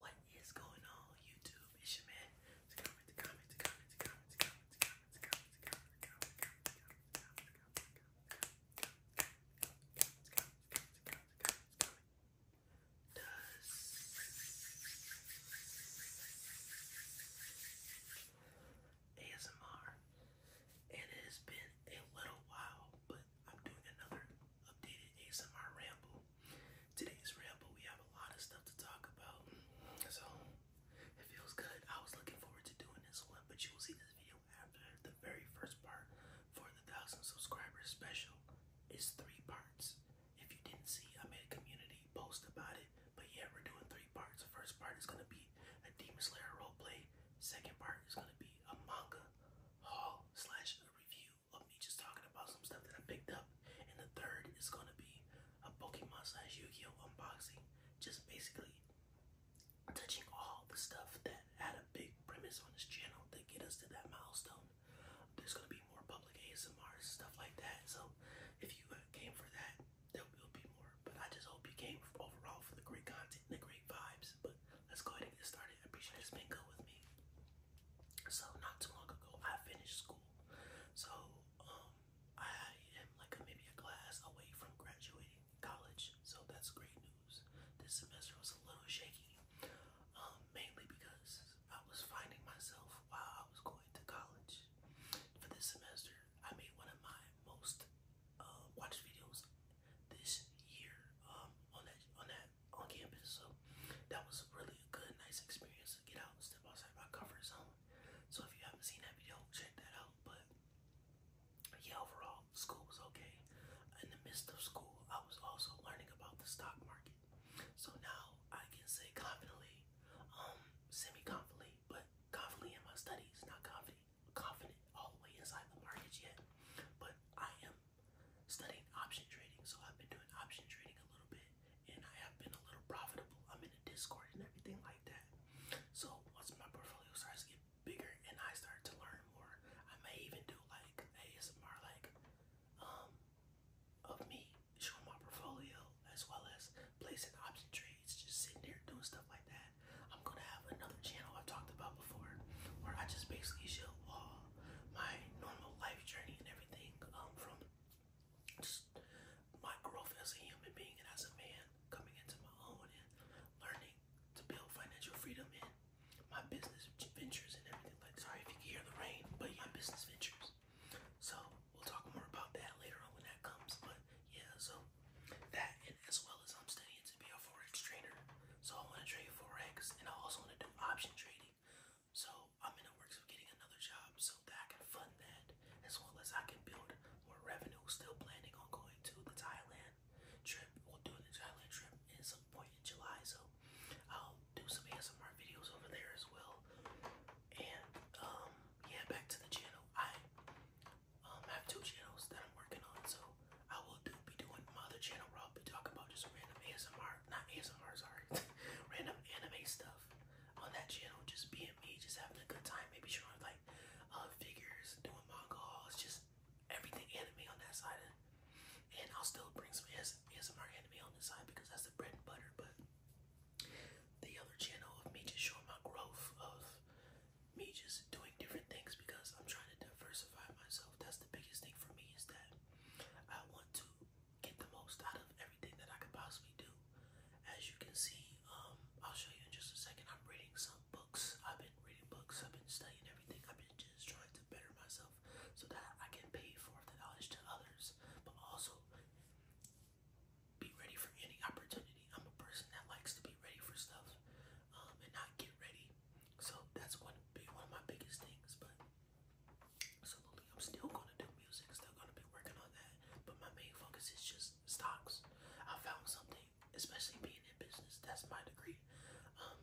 What is going on, YouTube? It's your man. To comment, to comment, to comment, to comment, to comment, to comment, to comment, to comment, to comment, to comment, to comment, to comment, Does ASMR, and it has been a little while, but I'm doing another updated ASMR ramble. Today's ramble, we have a lot of stuff to talk about, so it feels good. I was looking forward to doing this one, but you will see this video after the very first part for the thousand subscribers special. It's three parts. If you didn't see, I made a community post about it, but yeah, we're doing three parts. The first part is gonna be a Demon Slayer roleplay. Second part is gonna be a manga haul slash a review video of me just talking about some stuff that I picked up. And the third is gonna be a Pokemon slash Yu-Gi-Oh unboxing. Just basically touching all the stuff that had a big premise on this channel to get us to that milestone. There's gonna be more public ASMR stuff like that. So if you uh, came for that, there will be more. But I just hope you came overall for the great content the great vibes. But let's go ahead and get started. I appreciate you guys being with me. So not too long ago, I finished school. So um, I am like maybe a class away from graduating college. So that's great news. This semester was a little shaky, um, mainly because I was finding myself while I was going to college. For this semester, I made one of my most uh, watched videos this year um, on that on that on campus. So that was really a good, nice experience to get out and step outside my comfort zone. So if you haven't seen that video, check that out. But yeah, overall, school was okay. In the midst of school, I was also learning about the stock market. So now I can say confidently, um, semi-confidently, but confidently in my studies, not confident, confident all the way inside the market yet. But I am studying option trading, so I've been doing option trading a little bit, and I have been a little profitable. I'm in a Discord and everything like that. So once my portfolio starts get bigger and I start to learn more, I may even do like ASMR, like um, of me showing my portfolio as well as placing option trades, just sitting there doing stuff like that. I'm gonna have another channel I've talked about before, where I just basically show all my normal life journey and everything um, from just my growth as a human being and as a man coming into my own and learning to build financial freedom and my business ventures and everything like sorry if you can hear the rain but yeah, business ventures so we'll talk more about that later on when that comes but yeah so that and as well as I'm studying to be a forex trader so I want to trade forex and I also want to do option trading so I'm in the works of getting another job so that I can fund that as well as I can build more revenue. Still planning on going to the Thailand trip. We'll do the Thailand trip at some point in July. So I'll do some ASMR videos over there as well. And um, yeah, back to the channel. I um, have two channels that I'm working on. So I will do be doing my other channel where I'll be talking about just random ASMR, not ASMR, sorry, random anime stuff on that channel. Just being just having a good time, maybe showing like figures, doing manga just everything anime on that side. and I'll still bring some ASMR anime on this side because that's the bread and butter. But the other channel of me just showing my growth of me just doing different things because I'm trying to diversify myself. That's the biggest thing for me is that I want to get the most out of everything that I can possibly do. As you can see, um, I'll show you in just a second. I'm reading some books. I've been reading books. I've been studying everything. I've been just trying to better myself so that I can pay for the knowledge to others, but also be ready for any opportunity. I'm a person that likes to be ready for stuff um, and not get ready so that's one big one of my biggest things, but absolutely I'm still gonna do music, still gonna be working on that. But my main focus is just stocks. I found something, especially being in business, that's my degree. Um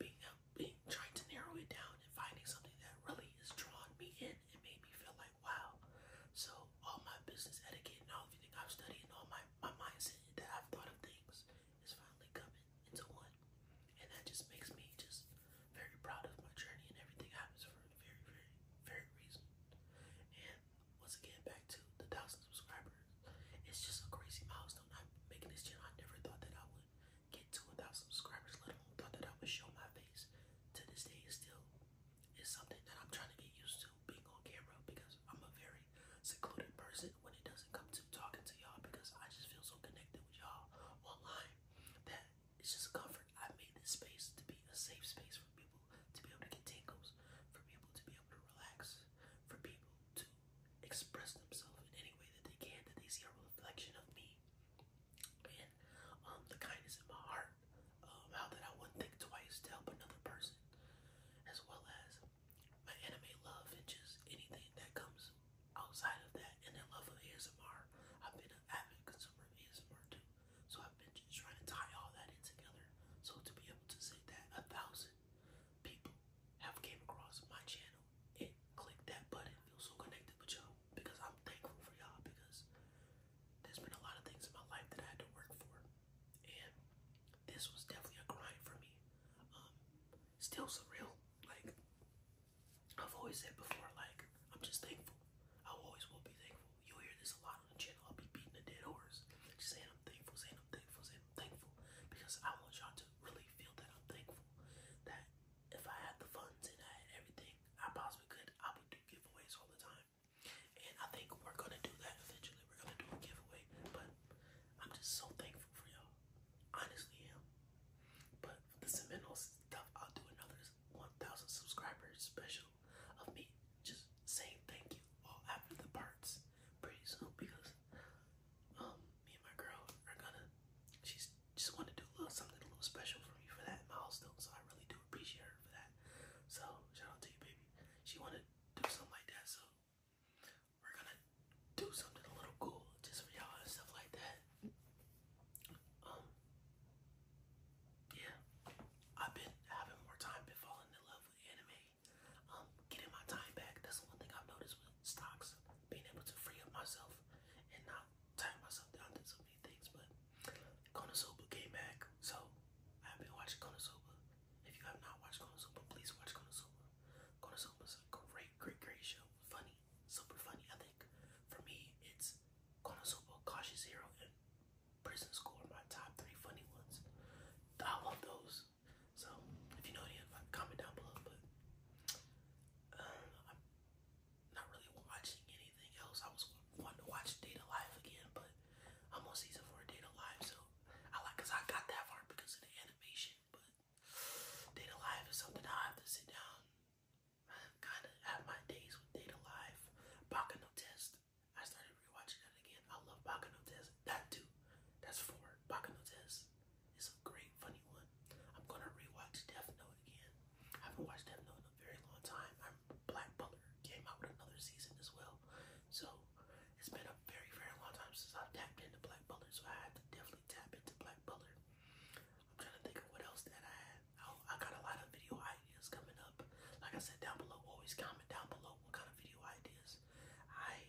being out uh, being trying to narrow it down and finding something that really has drawn me in and made me feel like wow. So all my business etiquette and all everything I've studied and all my, my mindset that I've thought of things is finally coming into one. And that just makes me just very proud of my journey and everything happens for a very, very, very reason. And once again, back to the thousand subscribers. It's just a crazy milestone. I'm making this channel. I never thought that I would get to a thousand subscribers, let alone thought that I would show my face. To this day, it's still it's something that I'm trying to get used to being on camera because I'm a very secluded person when it doesn't come to talking to y'all because I just feel so connected with y'all online that it's just comfort. I made this space to be a safe space for people to be able to get tingles, for people to be able to relax, for people to express themselves in any way that they can, that they see a reflection of me. And um, the kindness in my heart, um, how that I would think twice to help another person, as well as my anime love and just anything that comes outside of that and then love of ASMR. I've been an avid consumer of ASMR too. So I've been just trying to tie all that in together. So to be able to say that a thousand people have came across my channel and clicked that button, feel so connected with y'all because I'm thankful for y'all because there's been a lot of things in my life that I had to work for and this was definitely a grind for me. Um, still surreal. Like I've always said before, like I'm just thankful. I always will be thankful. You'll hear this a lot on the channel. I'll be beating a dead horse, just saying I'm thankful, saying I'm thankful, saying I'm thankful, because I want y'all to really feel that I'm thankful. That if I had the funds and I had everything I possibly could, I would do giveaways all the time. And I think we're gonna do that eventually we're gonna do a giveaway, but I'm just so thankful for y'all. Honestly, am. But the Seminole stuff, I'll do another 1,000 subscribers special of me just saying thank you all after the parts pretty soon because um, me and my girl are gonna she's just want to do a little something a little special for me for that milestone, so I really do appreciate her for that. So shout out to you, baby. She wanted do something like that, so we're gonna do something a little cool just for y'all and stuff like that. Um, yeah, I've been having more time been falling in love with anime. Um, getting my time back. That's one thing I've noticed with stocks. Being able to free up myself and not tie myself down to so many things. But Konosuba came back, so I've been watching Konosuba. If you have not watched Konosuba, please watch Konosuba. Konosuba is a great, great, great show. Funny, super funny. I think for me, it's Konosuba, Cautious Hero, and Prison School are my top three funny ones. I love those. So if you know any of uh, them, comment down below. But um, I'm not really watching anything else. I was wanting to watch Data Live again, but I'm on season four of Data Live, so I like, I got that far because of the animation, but Data Live is something I have to sit down. I kind of have my days with Data Live. Bakano I started rewatching that again. I love Bakano That too. That's four. Bakano is a great, funny one. I'm gonna rewatch Death Note again. I haven't watched Death Note in a very long time. Black Butler came out with another season as well. So it's been a very, very long time since i tapped into Black Butler, so I have to definitely tap into Black Butler. I'm trying to think of what else that I had. I, got a lot of video ideas coming up. Like I said down below, always comment down below what kind of video ideas. I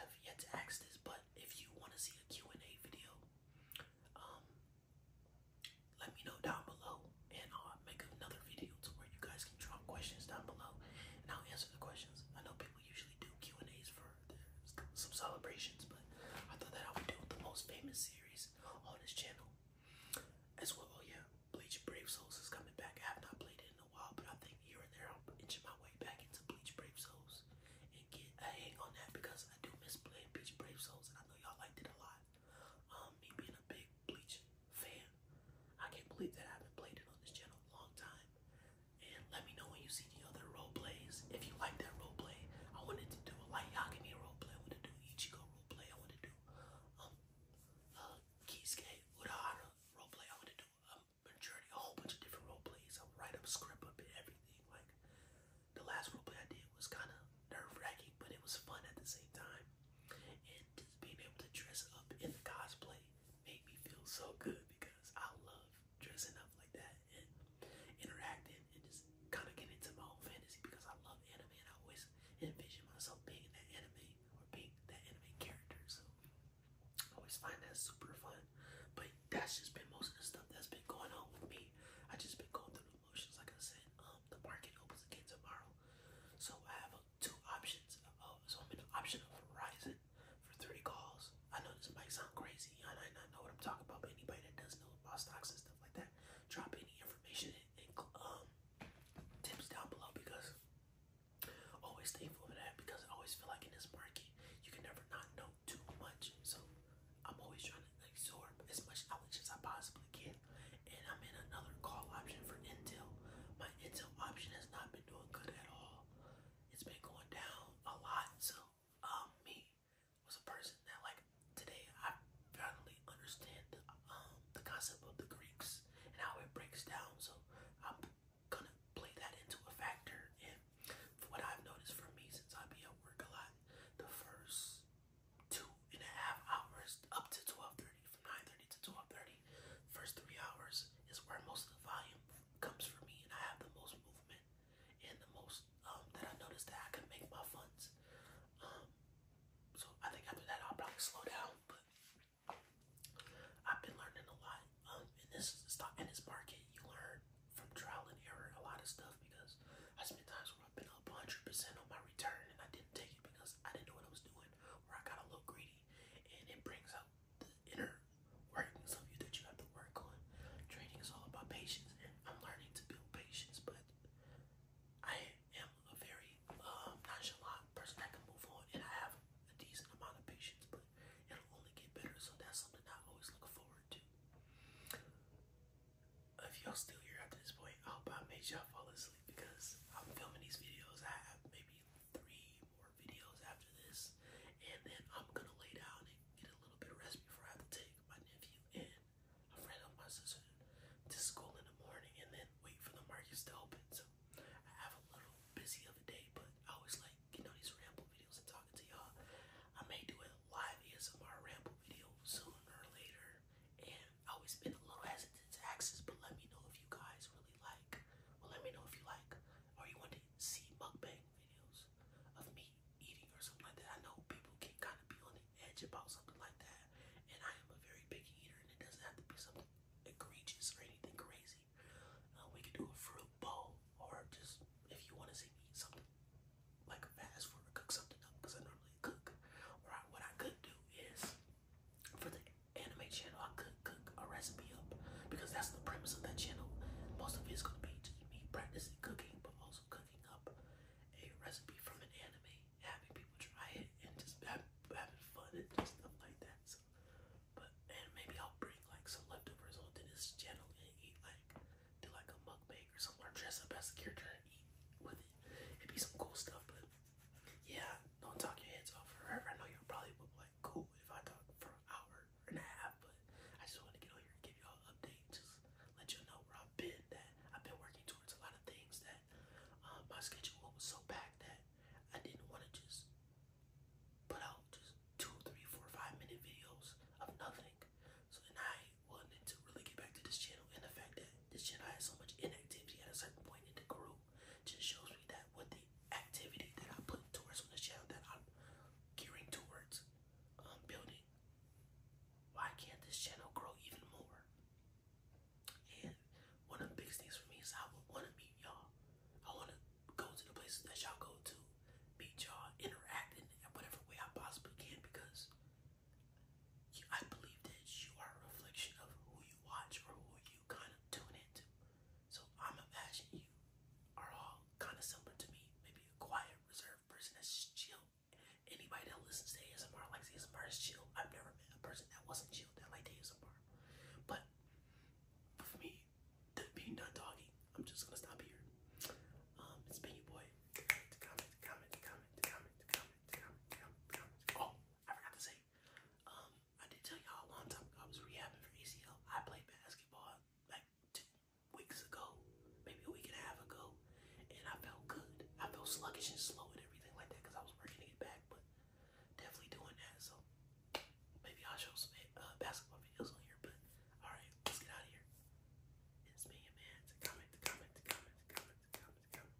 have yet to ask this, but if you want to see a and a video, um, let me know down below and I'll make another video to where you guys asking questions down below, and I'll answer the questions. I know people usually do Q and A's for some celebrations, but I thought that I would do the most famous series on this channel. As well, oh yeah, Bleach Brave Souls is coming back. I have not played it in a while, but I think here and there i will inch my way back into Bleach Brave Souls and get a hang on that because I do miss playing Bleach Brave Souls, and I know y'all liked it a lot. Um, me being a big Bleach fan. I can't believe that I haven't played it on this channel a long time. And let me know when you see the other role plays. If you like that role play, I wanted to do a like Yakami role play. I want to do Ichigo role play. I want to do um uh Kisuke Urahara role play. I want to do um, a whole bunch of different role plays. I write up script of everything. Like the last role play I did was kind of nerve wracking, but it was fun at the same time. And just being able to dress up in the cosplay made me feel so good because I love dressing up like that and interacting and just kind of getting into my own fantasy because I love anime and I always envision myself being that anime or being that anime character. So I always find that super fun. But that's just been most of the stuff that's been going on with me. I just been going through emotions, like I said. Um, the market opens again tomorrow, so I have a two options. Oh, so I'm in the option of Verizon for 30 calls. I know this might sound crazy. I might not know what I'm talking about, but anybody that does know about stocks and stuff like that, drop any information and, and um, tips down below because always thankful for that because I always feel like in this market, you can never not know too much. So I'm always trying to absorb as much knowledge as I possibly can and I'm in another call option for Intel. My Intel option has not been doing good at all. It's been going down a lot. So, um, me was a person that like today I finally understand the um, concept of the Greeks and how it breaks down. So I'm gonna play that into a factor. And what I've noticed for me since I be at work a lot, the first two and a half hours up to twelve thirty 9.30 to 12.30. First three hours is where most of the volume comes for me and I have the most movement and the most um, that I notice that I can make my funds. Um, so I think after that I'll probably slow down, but I've been learning a lot. Um, this stock in this market, you learn from trial and error a lot of stuff because I spent times where I've been up 100% on my return and I didn't take it because I didn't know what I was doing, or I got a little greedy and it brings out the inner workings of you that you have to work on. Training is all about patience. I'm learning to build patience, but I am a very um, nonchalant person that can move on, and I have a decent amount of patience, but it'll only get better, so that's something I always look forward to. If y'all still here at this point, I hope I made y'all fall asleep because I'm filming these videos. I have maybe three more videos after this, and then I'm gonna lay down and get a little bit of rest before I have to take my nephew and a friend of my sister to school in the morning, and then wait for the markets to open. So I have a little busy of a day, but I always like you know these ramble videos and talking to y'all. I may do a live ASMR ramble video soon or later, and I always been a little hesitant to access, but let me know if you guys really like. Well, let me know if you like, or you want to see mukbang videos of me eating or something like that. I know people can kind of be on the edge about something like that, and I am a very big eater, and it doesn't have to be something egregious or anything crazy. Uh, we could do a fruit bowl, or just if you want to see me eat something like a fast food or cook something up, because I normally cook. Or what I could do is for the anime channel, I could cook a recipe up because that's the premise of that channel. Most of it's gonna be me practicing cooking, but also cooking up a recipe from an anime, having people try it, and just have, having fun and just stuff like that. So, but and maybe I'll bring like some leftovers onto this channel and eat like do like a mug cake or something, or dress up as a character and eat with it. It'd be some cool stuff, but yeah, don't talk your heads off forever. I know you are probably like, cool if I talk for an hour and a half, but I just want to get on here and give y'all updates, Just let y'all know where I've been, that I've been working towards a lot of things that um, my schedule was so packed that I didn't want to just put out just two, three, four, five minute videos of nothing. So then I wanted to really get back to this channel and the that this channel has so much inactivity at a certain point in the group. Just shows me that with the activity that I put towards on the shelf that I'm gearing towards um, building. Why can't this channel grow even more? And one of the big things for me is I would want to meet y'all. I want to go to the places that y'all go to, meet y'all, interacting in whatever way I possibly can because I believe that you are a reflection of who you watch or who you kind of tune into. So I'm imagining you are all kind of similar to me. Maybe a quiet, reserved person that's just chill. Anybody that listens to ASMR likes ASMR is chill. I've never met a person that wasn't chill that liked ASMR. But for me, being done talking, I'm just gonna stop here. Um, it's been your boy. Comment, comment, comment, comment, comment, comment, comment, comment, comment. Oh, I forgot to say. Um, I did tell y'all a long time ago I was rehabbing for ACL. I played basketball like two weeks ago, maybe a week and a half ago, and I felt good. I felt sluggish and slow and everything like that because I was working to get back, but definitely doing that. So maybe I'll show some eh, uh, basketball videos on here. But all right, let's get out of here. It's me, your man. To comment, to comment, to comment, to comment, to comment, to comment.